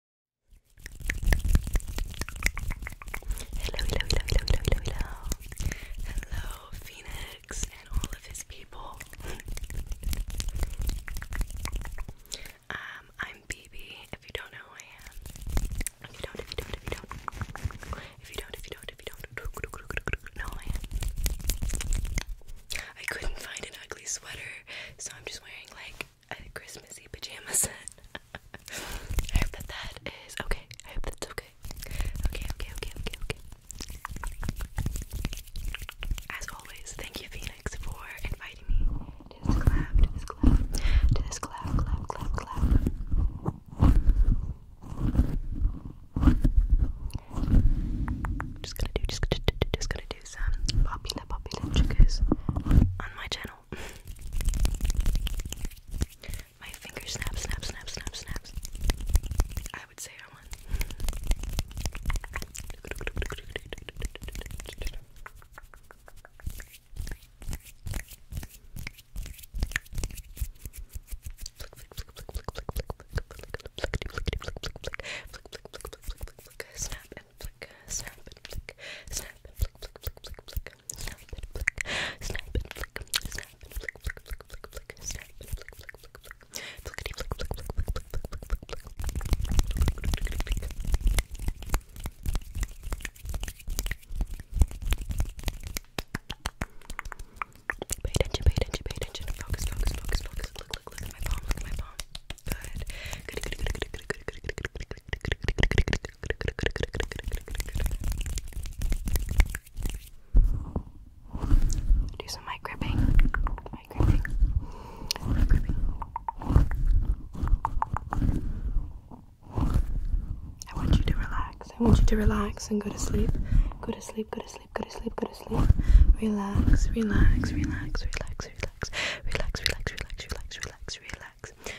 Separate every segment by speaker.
Speaker 1: Hello, hello, hello, hello, hello, hello, hello, Phoenix and all of his people. um, I'm BB. If you don't know who I am, if you don't, if you don't, if you don't, if you don't, if you don't, know who I am. I couldn't find an ugly sweater, so I'm just wearing like a Christmassy pajama set. I hope that that is okay. I hope that's okay. Okay, okay, okay, okay, okay. As always, thank you, Phoenix, for inviting me to this collab, to this collab, to this collab, collab, collab, collab. Just gonna do, just, just, just gonna do some popular, popular triggers on my channel channel. My finger snaps, snaps, snaps, snaps, snaps. I would say I won. Snap and flick, snap and flick, snap and flick, flick, flick, flick, flick, snap and flick, snap and flick, snap and flick, flick, flick, flick, flick, snap and flick, flick, flick, flick, flickety flick, flick, flick, flick, flick, flick, flick, flick, Pay attention, pay attention, pay attention. Focus, focus, focus, focus. Look, look, look at my palm, look at my palm. Good. Good, good, good, good, good, good, good, good, good, good, good, do some mic gripping. Mic gripping. Mic gripping. I want you to relax. I want you to relax and go to sleep. Go to sleep, go to sleep, go to sleep, go to sleep. Relax, relax, relax, relax, relax,
Speaker 2: relax, relax, relax, relax,
Speaker 1: relax, relax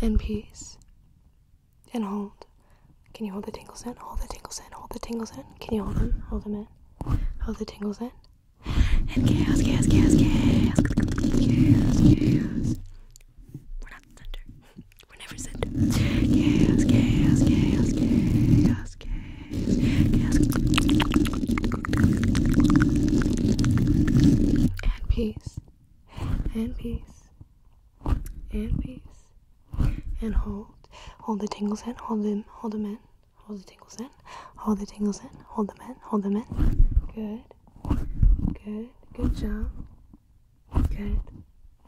Speaker 1: and peace. And hold. Can you hold the tingles in? Hold the tingles in. Hold the tingles in. Can you hold them? Hold them in. Hold the tingles in. And chaos, chaos, chaos, chaos. Chaos, chaos. We're not center. We're never center. Chaos, chaos, chaos, chaos, chaos, chaos. And peace and peace and peace and hold hold the tingles in hold them hold them in hold the tingles in hold the tingles in hold them in hold them in good good good job good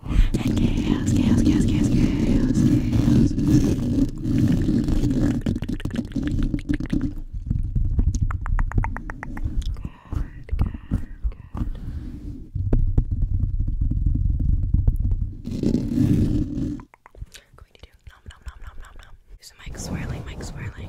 Speaker 1: and chaos chaos chaos chaos chaos Good, good, good. We're going to do nom nom nom nom nom nom. Use the mic swirling, mic swirling. Mic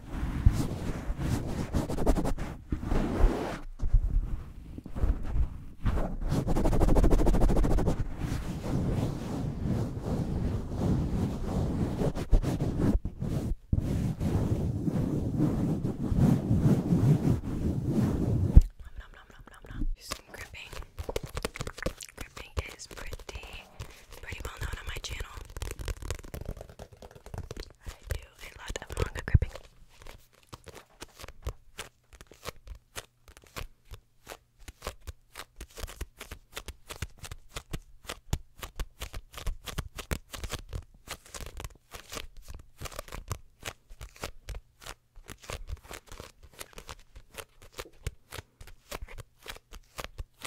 Speaker 1: nom nom nom nom nom. Do some gripping. Gripping is pretty pretty well known on my channel. I do a lot of manga gripping.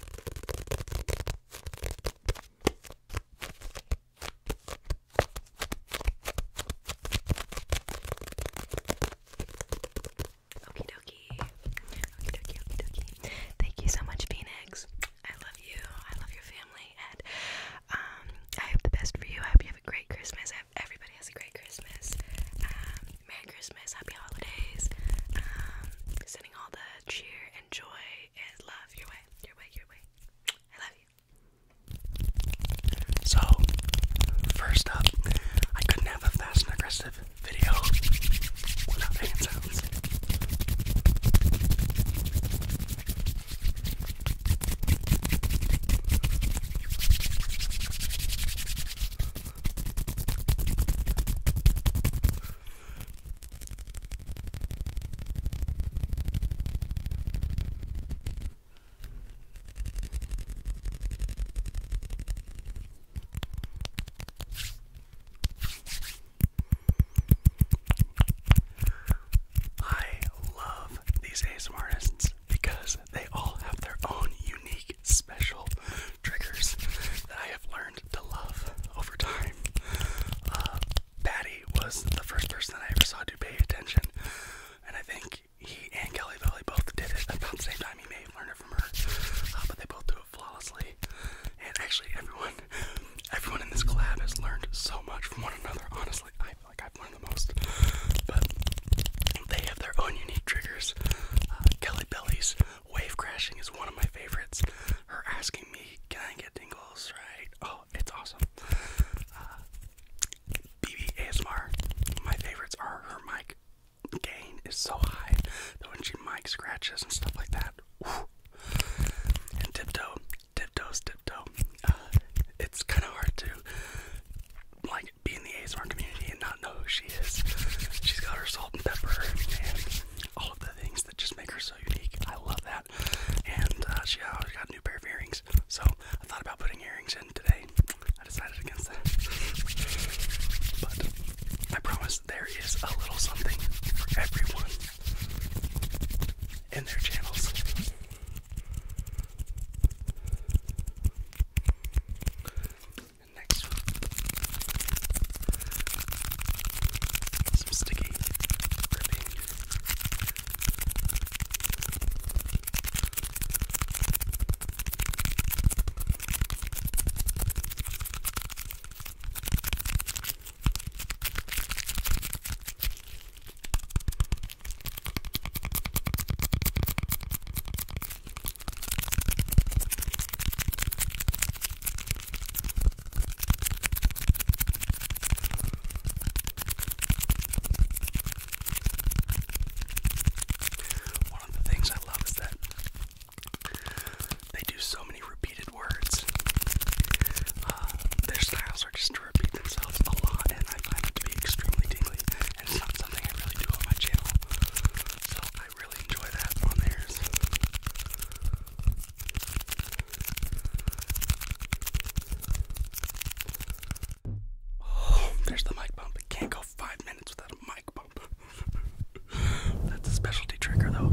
Speaker 1: Okie dokie. Okie dokie, okie dokie. Thank you so much, Phoenix. I love you. I love your family. And um, I hope the best for you. I hope you have a great Christmas. I hope everybody has a great Christmas. Um, Merry Christmas, Happy Holidays, um, sending all the cheer and joy and love your way, your way, your
Speaker 2: way. I love you. So, first up, I couldn't have a fast and aggressive video without hand sounds. I love these ASMR artists because they all have their own unique, special triggers that I have learned to love over time. Uh, Patty was the first person I ever saw to pay attention, and I think he and Kelly Valley both did it about the same time. He may have learned it from her, uh, but they both do it flawlessly. And actually, everyone, everyone in this collab has learned so much from one another. Honestly, I feel like I've learned the most. But they have their own unique triggers. Uh, Kelly Belly's Wave crashing is one of my favorites. Her asking me, "Can I get tingles?" Right? Oh, it's awesome. Uh, BB ASMR. My favorites are her mic gain is so high that when she mic scratches and stuff like that. Whew. And tiptoe, tiptoes, tiptoe. Uh, it's kind of hard to like be in the ASMR community and not know who she is. She's got her salt and pepper and all of the things that just make her so unique. I love that. And uh, she always got a new pair of earrings. So I thought about putting earrings in today. I decided against that. But I promise there is a little something for everyone in their channels. And next one. Some sticky ribbing. One of the things I love is that they do so many repeated words. Uh, their styles are just to repeat themselves a lot, and I find it to be extremely tingly. And it's not something I really do on my channel, so Oh, there's the mic bump. can't go five minutes without a mic bump. That's a specialty trigger, though.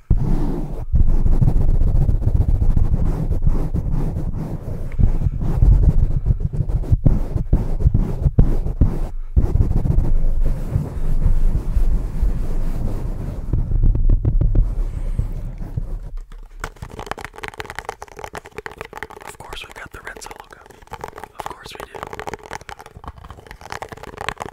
Speaker 2: Of course, we've got the red solo cup. Of course, we do.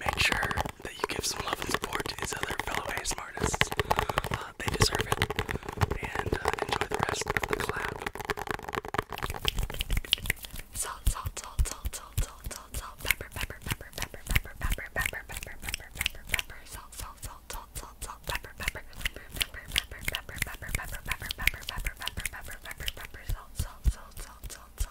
Speaker 2: Make sure that you give some love and support to these other fellow ASM artists. they deserve it. And enjoy the rest of the cloud. Salt, salt, salt, salt, salt, salt, salt, salt, pepper, pepper, pepper, pepper, pepper, pepper, pepper, pepper, pepper, pepper, pepper, salt, salt, salt, salt, salt, salt, pepper, pepper, pepper, pepper, pepper, pepper, pepper, pepper, pepper, pepper, pepper, pepper, pepper, pepper, pepper, salt, salt, salt, salt, salt,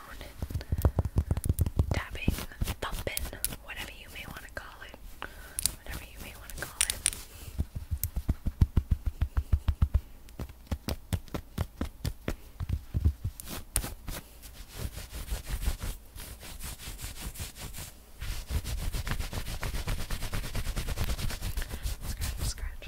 Speaker 2: phone, tapping, thumping, whatever you may want to call it. Whatever you may want to call it. Scratch, scratch.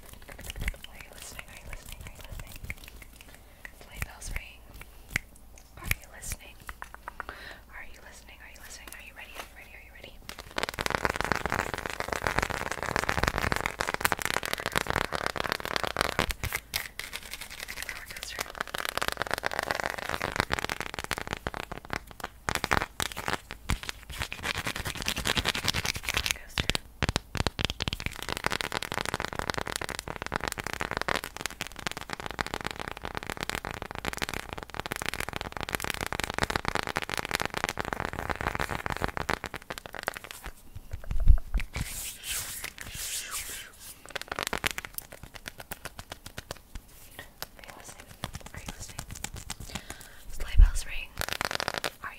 Speaker 2: Are you listening? Are you listening? Are you listening? Play bells ring. Are you listening? Are you listening? Are you listening? Are you ready? Are you ready? Are you ready? Orchestra. Orchestra. Are you listening? Are
Speaker 1: you listening? Sleigh bells ring. Are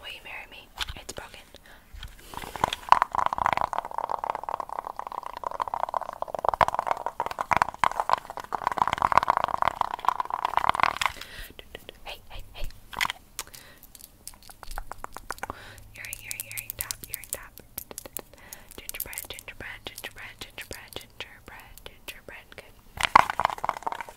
Speaker 1: Will you marry me? It's broken. Hey, hey, hey. Earring, earring, earring, top, earring, top. Gingerbread, gingerbread, gingerbread, gingerbread, gingerbread, gingerbread.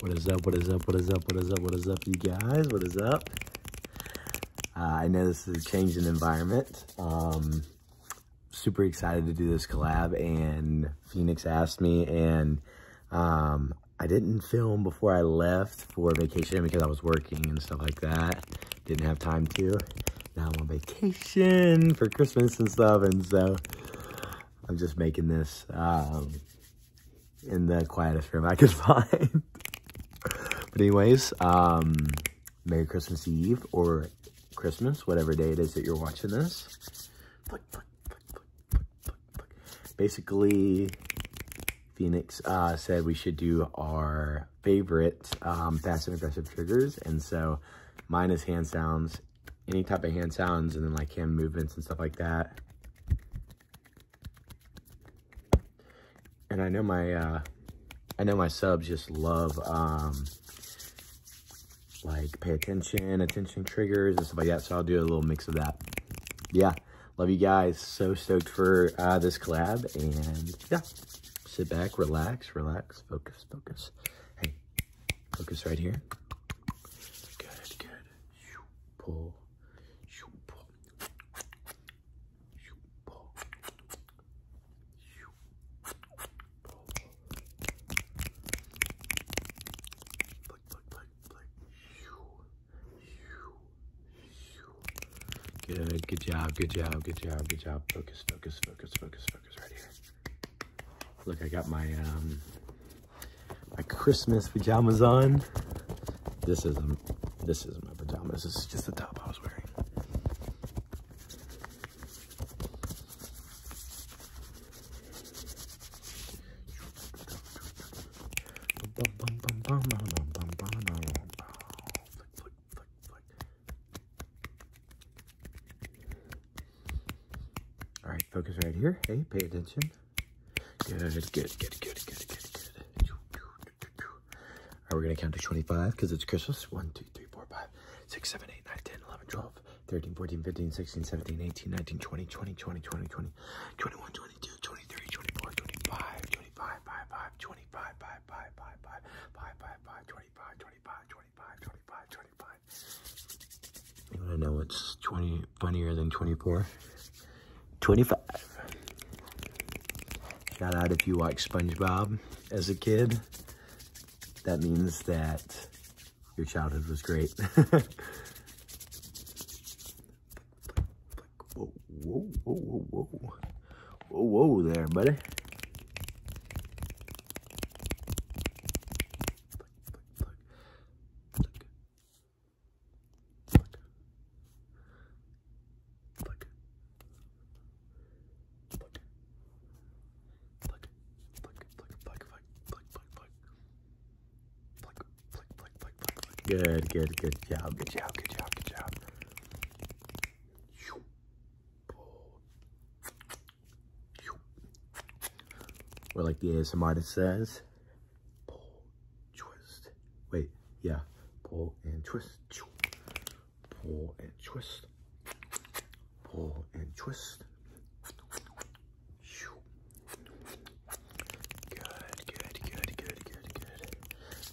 Speaker 3: what is up? What is up? What is up? What is up? What is up, you guys? What is up? Uh, I know this is a changing environment. Um, super excited to do this collab, and Phoenix asked me, and um, I didn't film before I left for vacation because I was working and stuff like that. Didn't have time to. Now I'm on vacation for Christmas and stuff. And so I'm just making this um, in the quietest room I could find. but anyways, um, Merry Christmas Eve or Christmas, whatever day it is that you're watching this. Basically, Phoenix uh, said we should do our favorite um, fast and aggressive triggers. And so mine is hand sounds, any type of hand sounds, and then like hand movements and stuff like that. And I know my, uh, I know my subs just love, um, like pay attention, attention triggers and stuff like that. So I'll do a little mix of that. Yeah love you guys. So stoked for uh, this collab. And yeah, sit back, relax, relax, focus, focus. Hey, focus right here. Good, good. Pull. Pull. Pull. Flick, flick, flick, Good, good job, good job, good job, good job. Focus, focus, focus, focus, focus right here. Look, I got my um, my Christmas pajamas on. This isn't um, this isn't my pajamas, this is just the top I was wearing. All right, focus right here. Hey, pay attention. Good, good, good, good, good, good, good. All right, we're going to count to 25 because it's Christmas. 1, 2, 3, 4, 5, 6, 7, 8, 9, 10, 11, 12, 13, 14, 15, 16, 17, 18, 19, 20, 20, 20, 20, 20, 21, 22, 23, 24, 25, 25. 25, 25, 25, 25, 25, 25, 25, 25, 25, 25, 25. I know it's 20 funnier than 24. 25. Shout out if you watched SpongeBob as a kid. That means that your childhood was great. Whoa, whoa, whoa, whoa, whoa. Whoa, there, buddy. Good, good, good job, good job, good job, good job. We're like the ASMR says, pull, twist. Wait, yeah, pull and twist. Pull and twist. Pull and twist.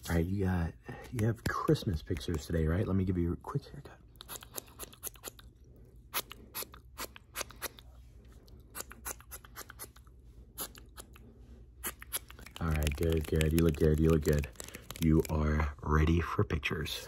Speaker 3: All right, you got, you have Christmas pictures today, right? Let me give you a quick haircut. All right, good, good. You look good, you look good. You are ready for pictures.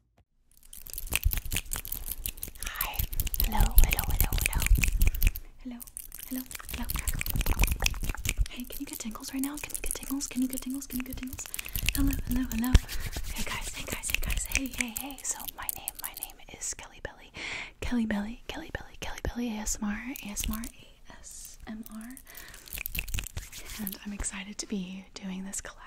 Speaker 1: Hi. Hello, hello, hello, hello. Hello, hello, hello, crackle. Hey, can you get tingles right now? Can you get tingles? Can you get tingles? Can you get tingles? Hello, hello, hello. Hey guys, hey guys, hey guys, hey, hey, hey. So my name, my name is Kelly Belly. Kelly Belly, Kelly Belly, Kelly Belly, ASMR, ASMR, ASMR. And I'm excited to be doing this collab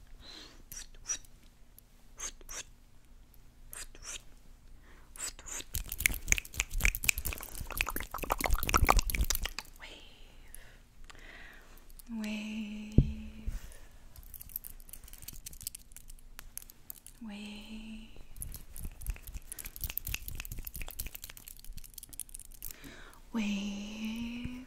Speaker 1: Wave. Wave. Wave. Wave.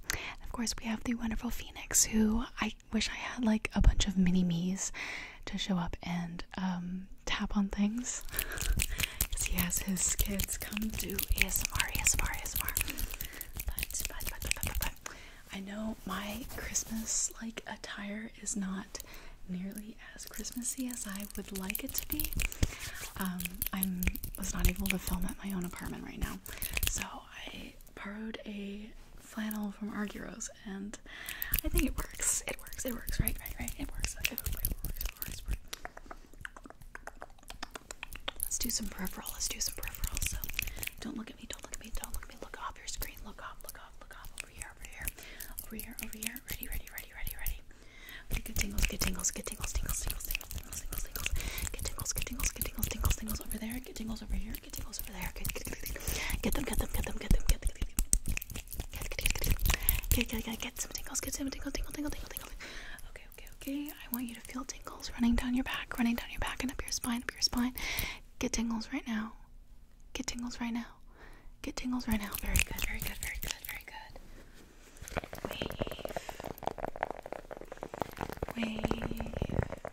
Speaker 1: Of course, we have the wonderful Phoenix, who I wish I had like a bunch of mini me's to show up and um, tap on things. Because he has his kids come to ASMR, ASMR, ASMR. But, but, but, but, but, but, I know my Christmas like attire is not nearly as Christmassy as I would like it to be. Um, I was not able to film at my own apartment right now. So I borrowed a flannel from Argyros and I think it works. It works. It works. Right, right, right. It works. Let's do some peripheral. Let's do some peripheral. So don't look at me. Don't look at me. Don't look at me. Look off your screen. Look off. Look off. Look off. Over here. Over here. Over here. Over here. Ready, ready, ready, ready, ready. Okay, tingles. Good tingles. Good Tingles. Tingles. Tingles. Tingles. Tingles. Tingles. Get tingles. Get tingles. Get tingles. Tingles. Tingles over there. Get tingles over here there. Get tingles over there. Get, get, get them, get them, get them, get them, get them, get, get, get, get some tingles. Get some tingle, tingle, tingle, tingle, tingle. Okay, okay, okay. I want you to feel tingles running down your back, running down your back and up your spine, up your spine. Get tingles right now. Get tingles right now. Get tingles right now. Very good, very good, very good,
Speaker 2: very good. Wave. Wave.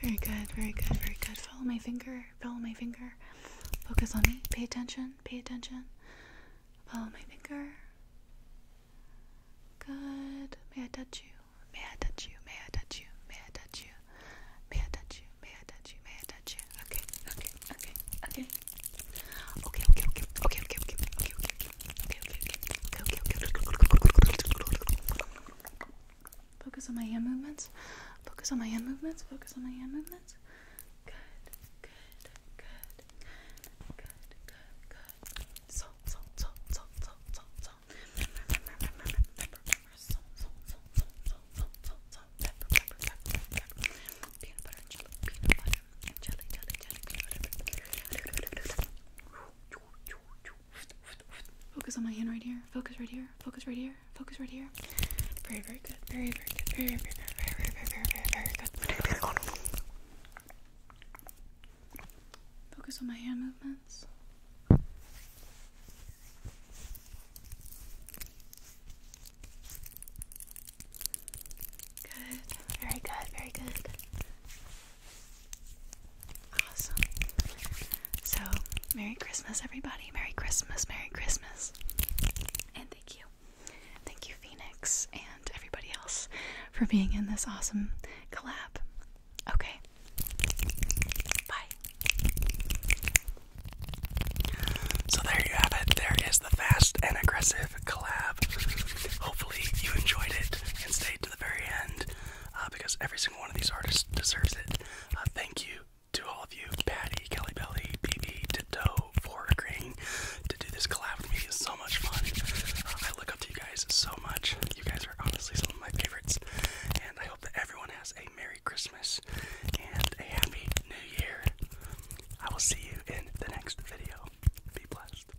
Speaker 1: Very good, very good, very good. Follow my finger, follow my finger. Focus on me. Pay attention, pay attention. Follow my finger. Good. May I touch you? May I touch you? May I touch you? May I touch you? May I touch you? May I touch you? May I touch you? Okay, okay, okay, okay. Okay, okay, okay, okay, okay, okay, okay, okay, okay. Okay, okay, okay, okay, okay, okay. Focus on my hand movements. Focus on my hand movements. Focus on my hand movements. Good, good, good, good, good, good. So, so, so, so, so, so, so. Remember, remember, remember, remember, remember. So, so, so, so, so, so, so, so. Pepper, pepper, pepper, pepper. Peanut butter and jelly, peanut butter and jelly, jelly, jelly, peanut butter. Focus on my hand right here. Focus right here. Focus right here. Focus right here. Very, very good. Very, very good. Very, very, very, very, very, very, very, very good. Focus on my hand movements. Good. Very good. Very good. Awesome. So, Merry Christmas, everybody. Merry Christmas, Merry Christmas. And thank you. Thank you, Phoenix, and everybody else for being in this awesome collab. Okay.
Speaker 2: Bye. So, there you have it. There is the fast and aggressive collab. Hopefully, you enjoyed it and stayed to the very end. Uh, because every single one of these artists deserves it. Uh, thank you to all of you, Patty, Kelly Belly, BB, Tiptoe, for agreeing to do this collab with me. It's so much fun. Uh, I look up to you guys so much. You guys are honestly some of my favorites. And I hope that everyone has a Merry Christmas and a Happy New Year. I will see you in the next video. Be blessed.